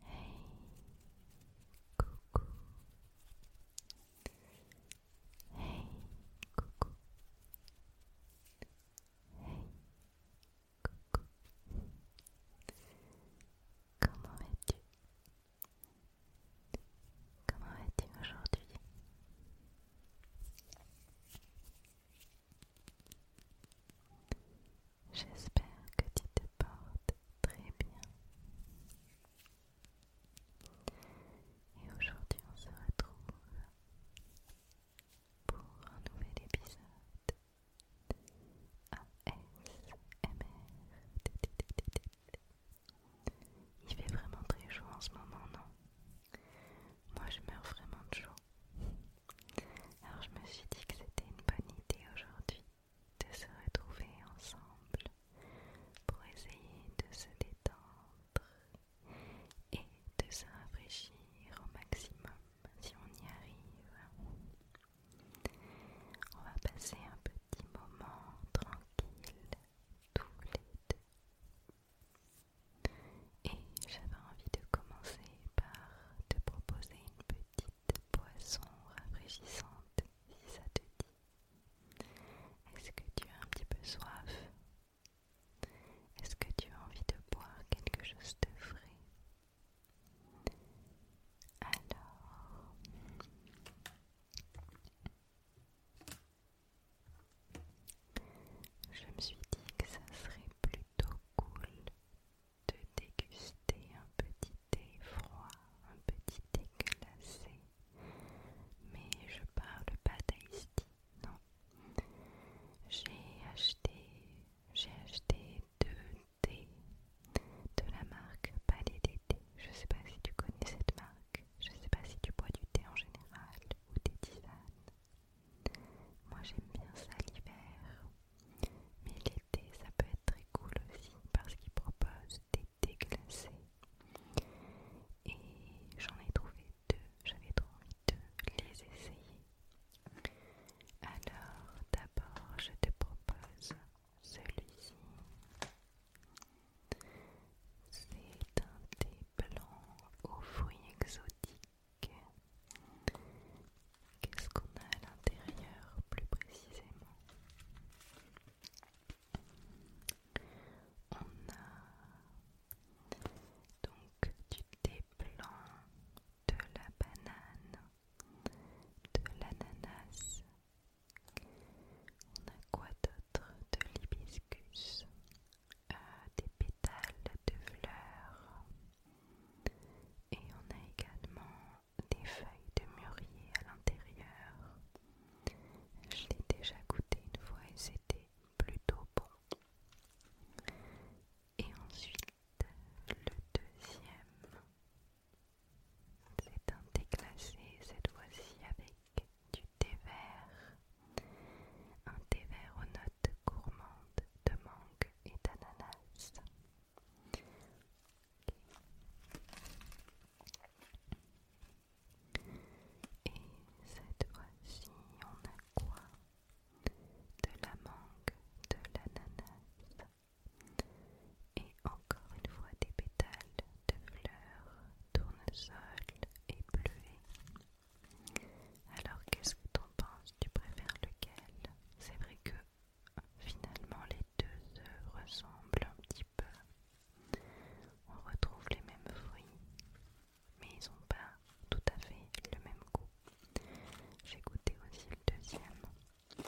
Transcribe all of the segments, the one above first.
Hey, coucou. Hey, coucou. Hey, coucou. Comment vas-tu Comment vas-tu aujourd'hui J'espère que tu te portes très bien. Et aujourd'hui, on se retrouve pour un nouvel épisode ASMR. Il fait vraiment très chaud en ce moment, non Moi, je meurs vraiment de chaud. Alors je me suis dit que c'était une bonne idée aujourd'hui de se retrouver ensemble pour essayer de se détendre et de se rafraîchir au maximum si on y arrive. On va passer un petit moment tranquille tous les deux. Et j'avais envie de commencer par te proposer une petite de boisson rafraîchissante si ça te dit. Est-ce que tu as un petit peu soif Est-ce que tu as envie de boire quelque chose de frais Alors... Je me suis dit que ça serait plutôt cool de déguster un petit thé froid, un petit thé glacé. Mais je parle pas d'Ice non. J'ai acheté, j'ai acheté deux thés de la marque Palais des Thés. Je sais pas si tu connais cette marque. Je sais pas si tu bois du thé en général ou des tisanes. Moi j'aime bien ça l'hiver. Mais les ça peut être très cool aussi parce qu'ils proposent des déglacés Et j'en ai trouvé deux, j'avais trop envie de les essayer. Alors d'abord, je te propose celui-ci. C'est un thé blanc aux fruits exotiques. Qu'est-ce qu'on a à l'intérieur plus précisément On a donc du thé blanc, de la banane, de l'ananas. On a quoi d'autre De l'hibiscus, euh, des pétales de fleurs. Et on a également des feuilles de mûrier à l'intérieur. Je l'ai déjà goûté une fois et c'était plutôt bon. Et ensuite, le deuxième, c'est un thé glacé, cette fois-ci avec du thé vert. Un thé vert aux notes gourmandes de mangue et d'ananas. Et cette fois-ci, on a quoi De la mangue, de l'ananas, et encore une fois des pétales de fleurs, tournesol et bleuets. Alors qu'est-ce que tu en penses Tu préfères lequel C'est vrai que Finalement, les deux se ressemblent un petit peu. On retrouve les mêmes fruits, mais ils n'ont pas tout à fait le même goût. J'ai goûté aussi le deuxième.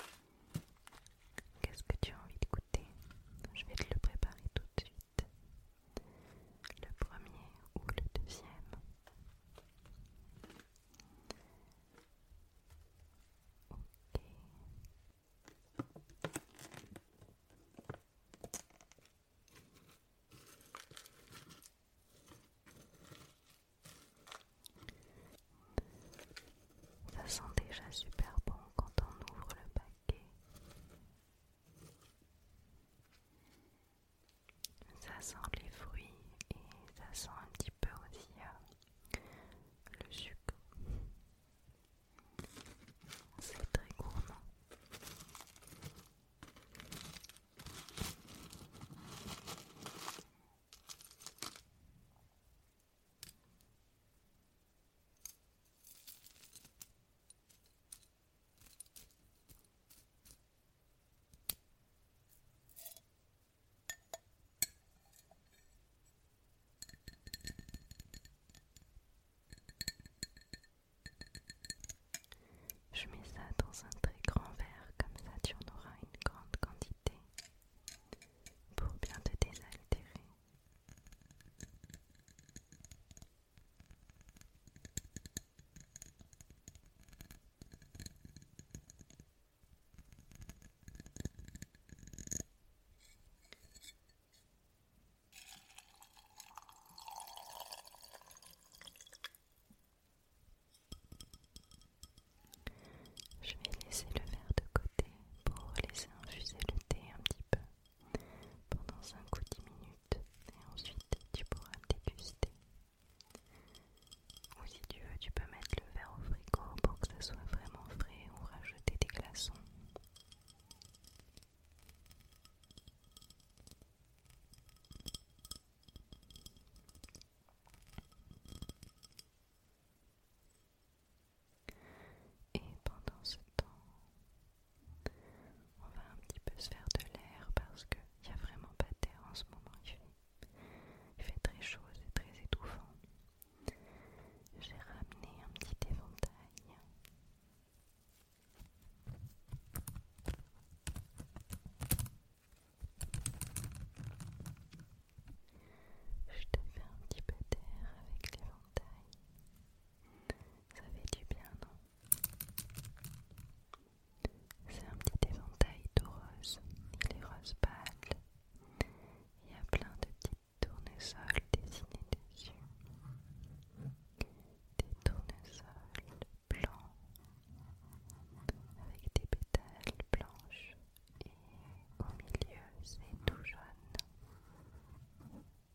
Qu'est-ce que tu as envie de goûter Je vais te le préparer tout de suite. Le premier ou le deuxième ça sent déjà super bon quand on ouvre le paquet. Ça sent les fruits et ça sent un petit petit peu aussi euh, le sucre. C'est très gourmand. Je mets ça dans un très grand verre, comme ça tu en auras une grande quantité pour bien te désaltérer. Je vais laisser le verre de côté pour laisser infuser le thé un petit peu pendant 5 ou 10 minutes et ensuite tu pourras déguster. Ou si tu veux, tu peux mettre le verre au frigo pour que ça soit vraiment frais ou rajouter des glaçons. Et pendant ce temps, on va un petit peu se faire de l'air parce qu'il n'y a vraiment pas d'air en ce moment. Il fait, il fait très chaud, c'est très étouffant. J'ai ramené un petit éventail. Je te fais un petit peu d'air avec l'éventail. Ça fait du bien, non C'est un petit éventail de rose. Il est rose pâle. Il y a plein de petites tournesols dessinés dessus. Des tournesols blancs avec des pétales blanches et au milieu c'est tout jaune.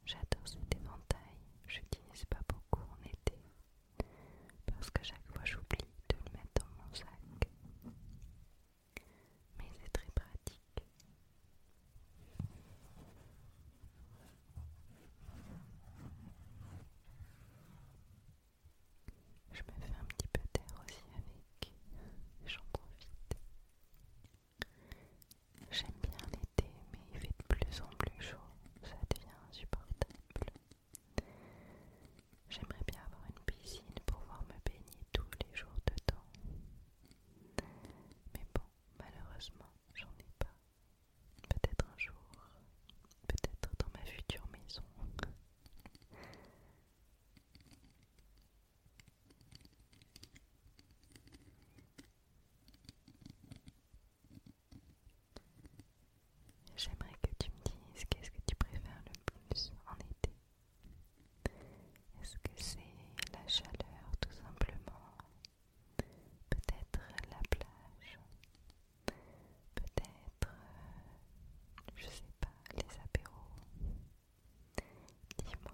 J'adore ce éventail, je l'utilise pas beaucoup en été parce que chaque fois j'oublie de le mettre dans mon sac mais c'est très pratique. Je me fais un petit peu d'air aussi avec, j'en profite. J'aime bien l'été, mais il fait de plus en plus chaud, ça devient insupportable. J'aimerais bien avoir une piscine pour pouvoir me baigner tous les jours dedans. Mais bon, malheureusement, j'en ai pas. Peut-être un jour, peut-être dans ma future maison. J'aimerais que tu me dises qu'est-ce que tu préfères le plus en été. Est-ce que c'est la chaleur tout simplement Peut-être la plage Peut-être, euh, je sais pas, les apéros Dis-moi.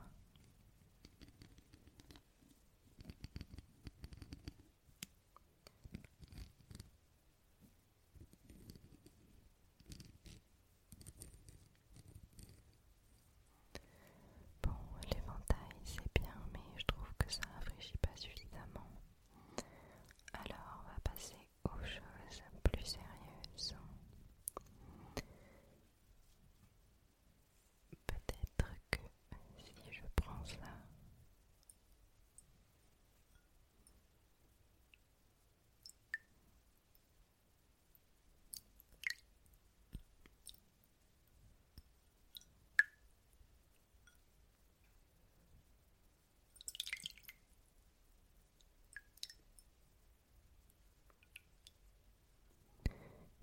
Bon, l'éventail c'est bien, mais je trouve que ça rafraîchit pas suffisamment. Alors, on va passer aux choses plus sérieuses. Peut-être que si je prends ça,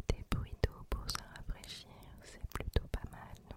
des bruits d'eau pour se rafraîchir, c'est plutôt pas mal, non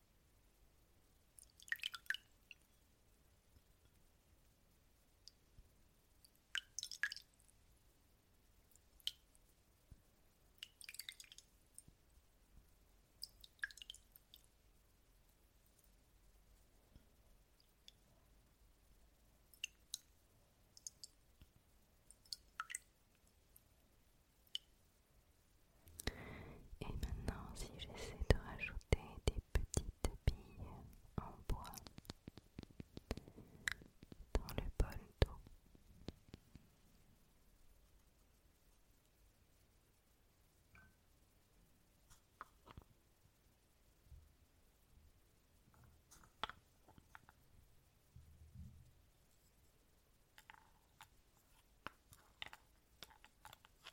Et maintenant, si j'essaie de rajouter des Petite petites en bois dans le bol d'eau.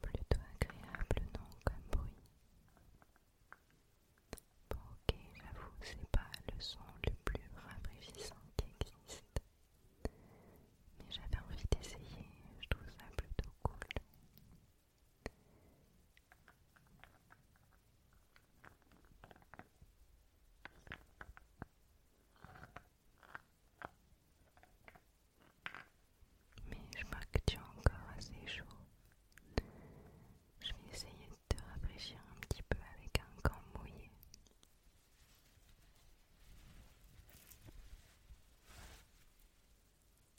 Plutôt agréable, non, comme bruit. Bon, ok, j'avoue, c'est pas le son le plus rafraîchissant qui existe. Mais j'avais envie d'essayer, je trouve ça plutôt cool. Mais je marque que tu encore assez chaud. Je vais essayer de te rafraîchir un petit peu avec un gant mouillé.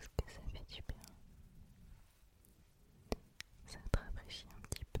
Est-ce que ça fait du bien Ça te rafraîchit un petit peu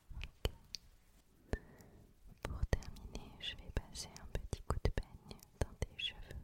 Pour terminer, je vais passer un petit coup de peigne dans tes cheveux.